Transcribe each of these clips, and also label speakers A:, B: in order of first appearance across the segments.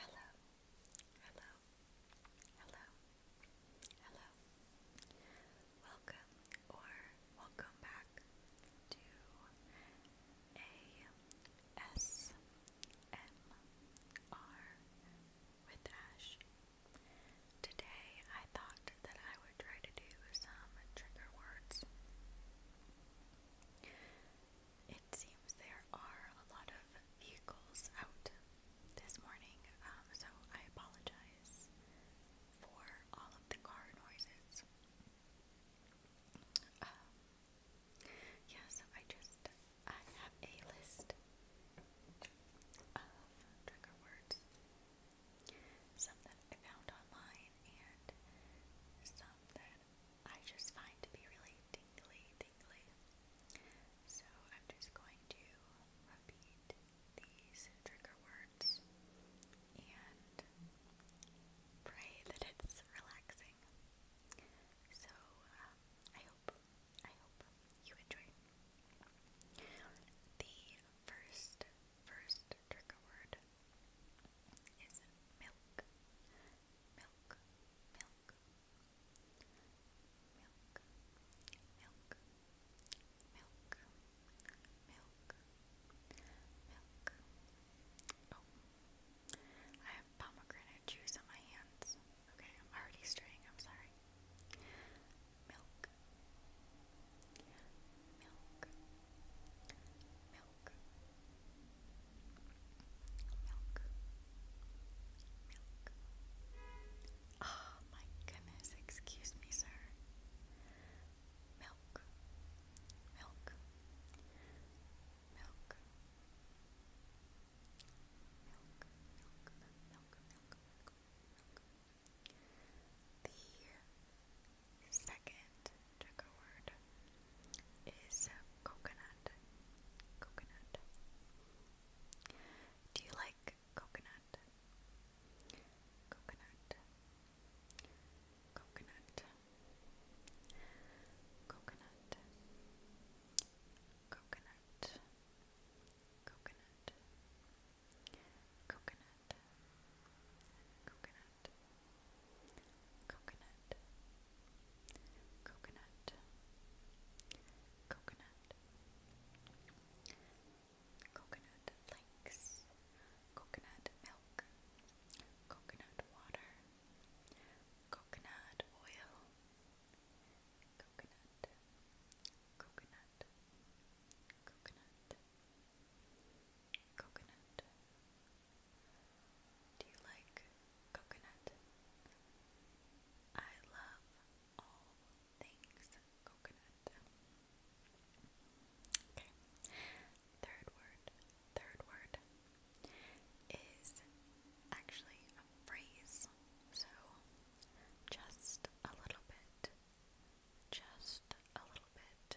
A: Hello, hello, hello, hello. Welcome or welcome back to ASMR with Ash. Today I thought that I would try to do some trigger words it seems there are a lot of vehicles out this morning, um, so I apologize for all of the car noises. Um, yeah, so I just I have a list of trigger words, some that I found online and some that I just find to be really tingly, tingly. So I'm just going to repeat these trigger words and pray that it's relaxing. So um, I hope, I hope you enjoy. The first, first trigger word is milk, milk, milk, milk, milk, milk, milk, milk. Oh, I have pomegranate juice on my hands. Okay, I'm already straying. I'm sorry. Milk, milk, milk milk, my goodness, excuse me, sir. Milk, milk, milk, milk, milk, milk, milk, milk, milk. The second check a word, is coconut. Coconut. Do you like coconut? Coconut. Coconut. Coconut. Coconut. Coconut. Coconut. Coconut coconut, coconut, coconut, coconut flakes, coconut milk, coconut water, coconut oil, coconut, coconut, coconut. Coconut, coconut, do you like coconut? I love all things coconut. Okay. Third word. Third word is actually a phrase. So just a little bit. Just a little bit.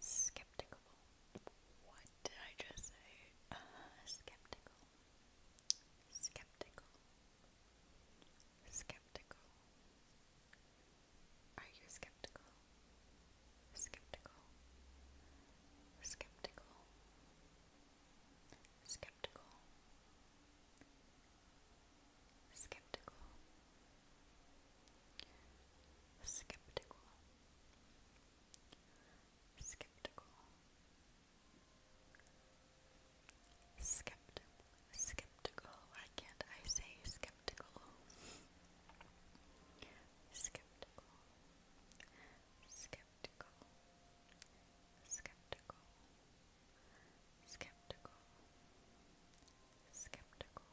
A: Skeptical. What did I just say? Uh, skeptical. Skeptical. Skeptical. Are you skeptical? Skeptical. Skeptical. Skeptical skeptical, skeptical, skeptical, skeptical, skeptical. Why can't I say skeptical? Skeptical, skeptical, skeptical, skeptical, skeptical,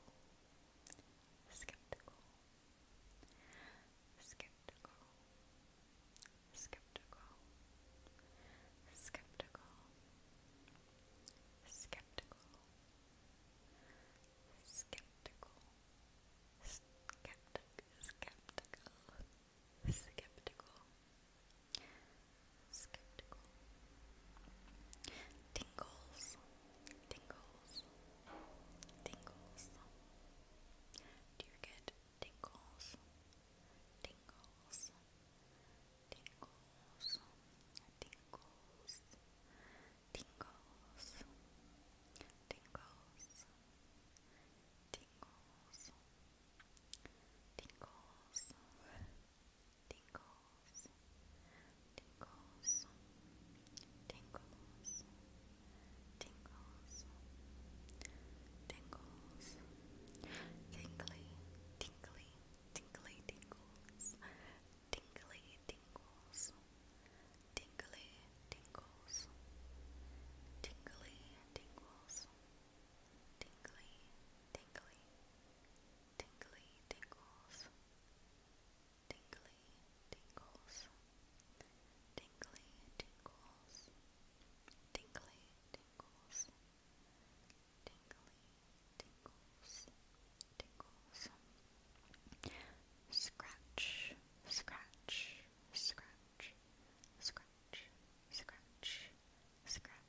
A: skeptical, skeptical, skeptical, skeptical, skeptical, skeptical, skeptic, skeptical, skeptical, skeptical. Tingles, tingles, tingles. Do you get tingles? Tingles, tingles, tingles, tingles, tingles, tingles. Tingles, tingles, tingles, tingles, tingles, tingles, tingly, tingly, tingly tingles, tingly tingles, tingly tingles, tingly tingles, tingly, tingly tingly tingles, tingly tingles, tingly tingles, tingly tingles, tingly tingles, tingles. Scratch, scratch, scratch, scratch, scratch, scratch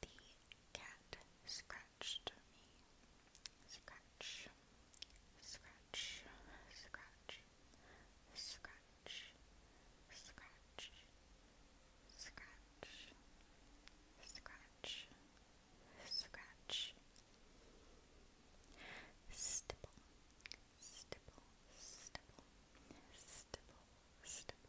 A: The cat scratched me. Scratch, scratch, scratch, scratch, scratch, scratch, scratch, scratch. Stipple, stipple, stipple, stipple, stipple.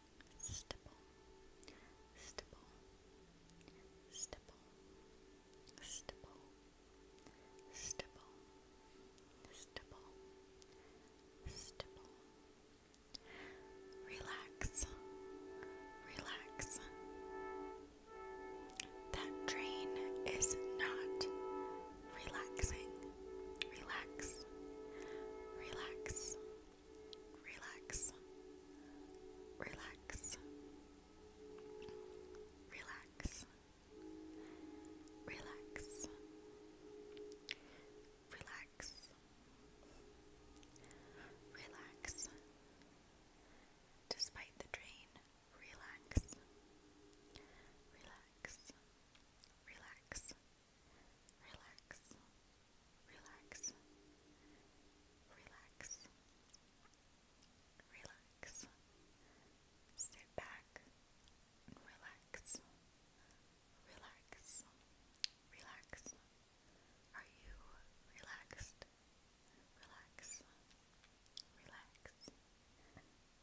A: stipple, stipple, stipple, stipple, stipple, stipple, Relax, relax. That train is not relaxing. Relax, relax, Relax. Relax. Relax. Relax. Relax. Relax. Despite the drain, relax. Relax. Relax. Relax relax, relax, relax, sit back relax, relax, relax. Are you relaxed? relax,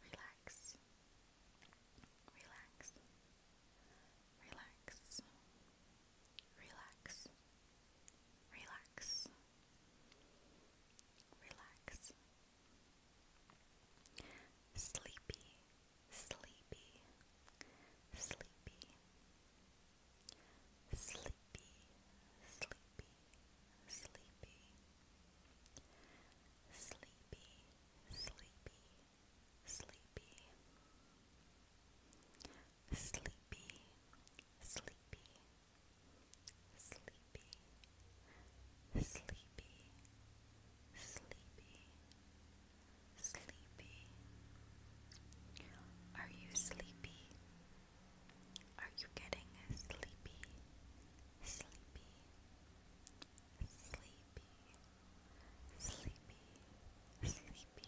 A: relax. Relax. Relax. Relax relax, relax, relax. Sleepy, sleepy, sleepy, sleepy, sleepy, sleepy. Sleepy, sleepy, sleepy, sleepy, sleepy, sleepy, sleepy, sleepy. Are you sleepy? Are you getting sleepy? Sleepy, sleepy, sleepy, sleepy, sleepy,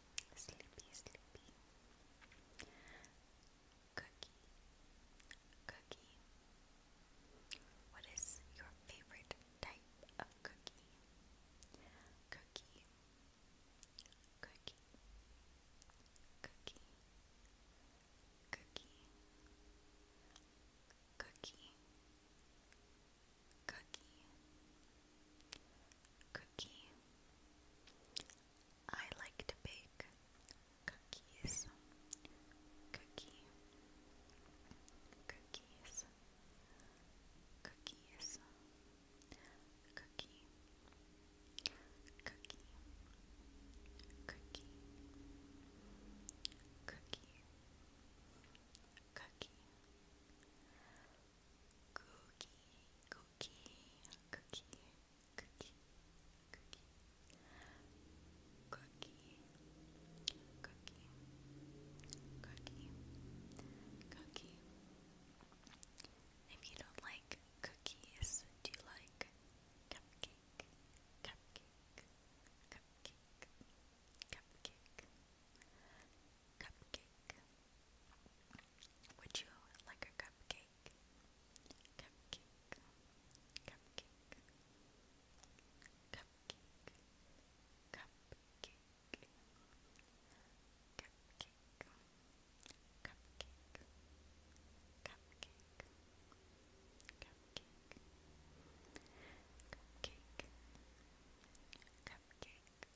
A: sleepy, sleepy. Cookie, cookie. What is your favorite type of cookie? Cookie, cookie, cookie, cookie, cookie, Cookie. Cookie. I like to bake cookies. Cookie. Cookies. Cookies. Cookie. Cookie. Cookie. Cookie, cookie, cookie, cookie, cookie, cookie, cookie, cookie, cookie. If you don't like cookies, do you like cupcake, cupcake, cupcake, cupcake, would you like a cupcake? Cupcake. Cupcake. Cupcake. Cupcake. Cupcake. Cupcake. Cupcake. Cupcake. Cupcake. Cupcake.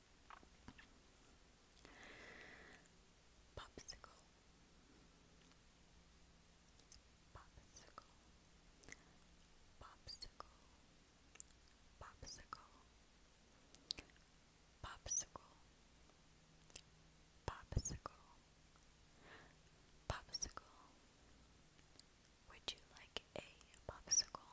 A: Popsicle. Popsicle. Popsicle. Popsicle. Popsicle. Popsicle. Popsicle. Would you like a popsicle?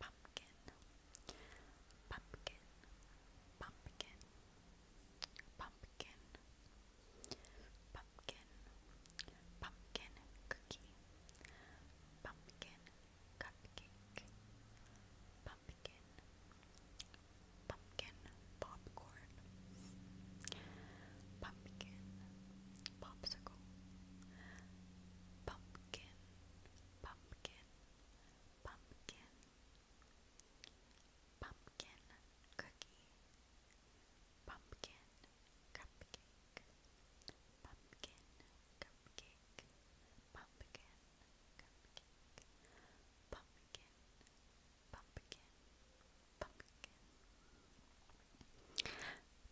A: pumpkin, pumpkin, pumpkin, pumpkin, pumpkin, pumpkin cookie, pumpkin cupcake, pumpkin, pumpkin popcorn, pumpkin popsicle. Pumpkin, pumpkin, pumpkin, pumpkin, pumpkin cookie, pumpkin cupcake, pumpkin cupcake, pumpkin cupcake, pumpkin, pumpkin, pumpkin.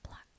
A: Pluck,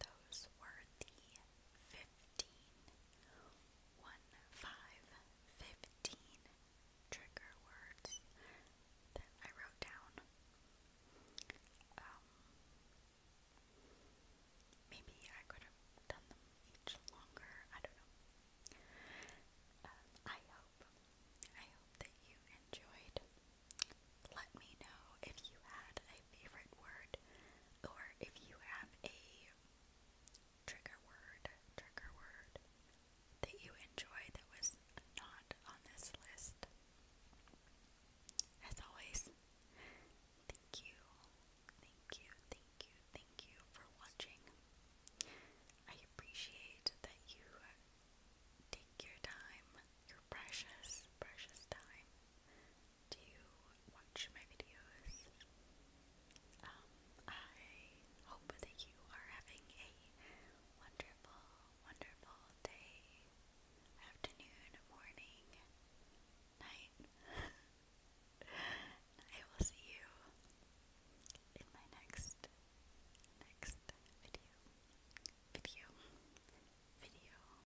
A: Those were the fifteen one five fifteen trigger words that I wrote down. Um, maybe I could have done them each longer, I don't know. Uh, I hope I hope that you enjoyed. Let me know if you had a favorite word, or if you have a trigger word, trigger word that you enjoy that was not on this list. As always, thank you, thank you, thank you, thank you for watching. I appreciate that you take your time, your precious, precious time do watch my videos. Um, I hope that you are having a wonderful, wonderful day, afternoon, morning, night. I will see you in my next, next video, video, video.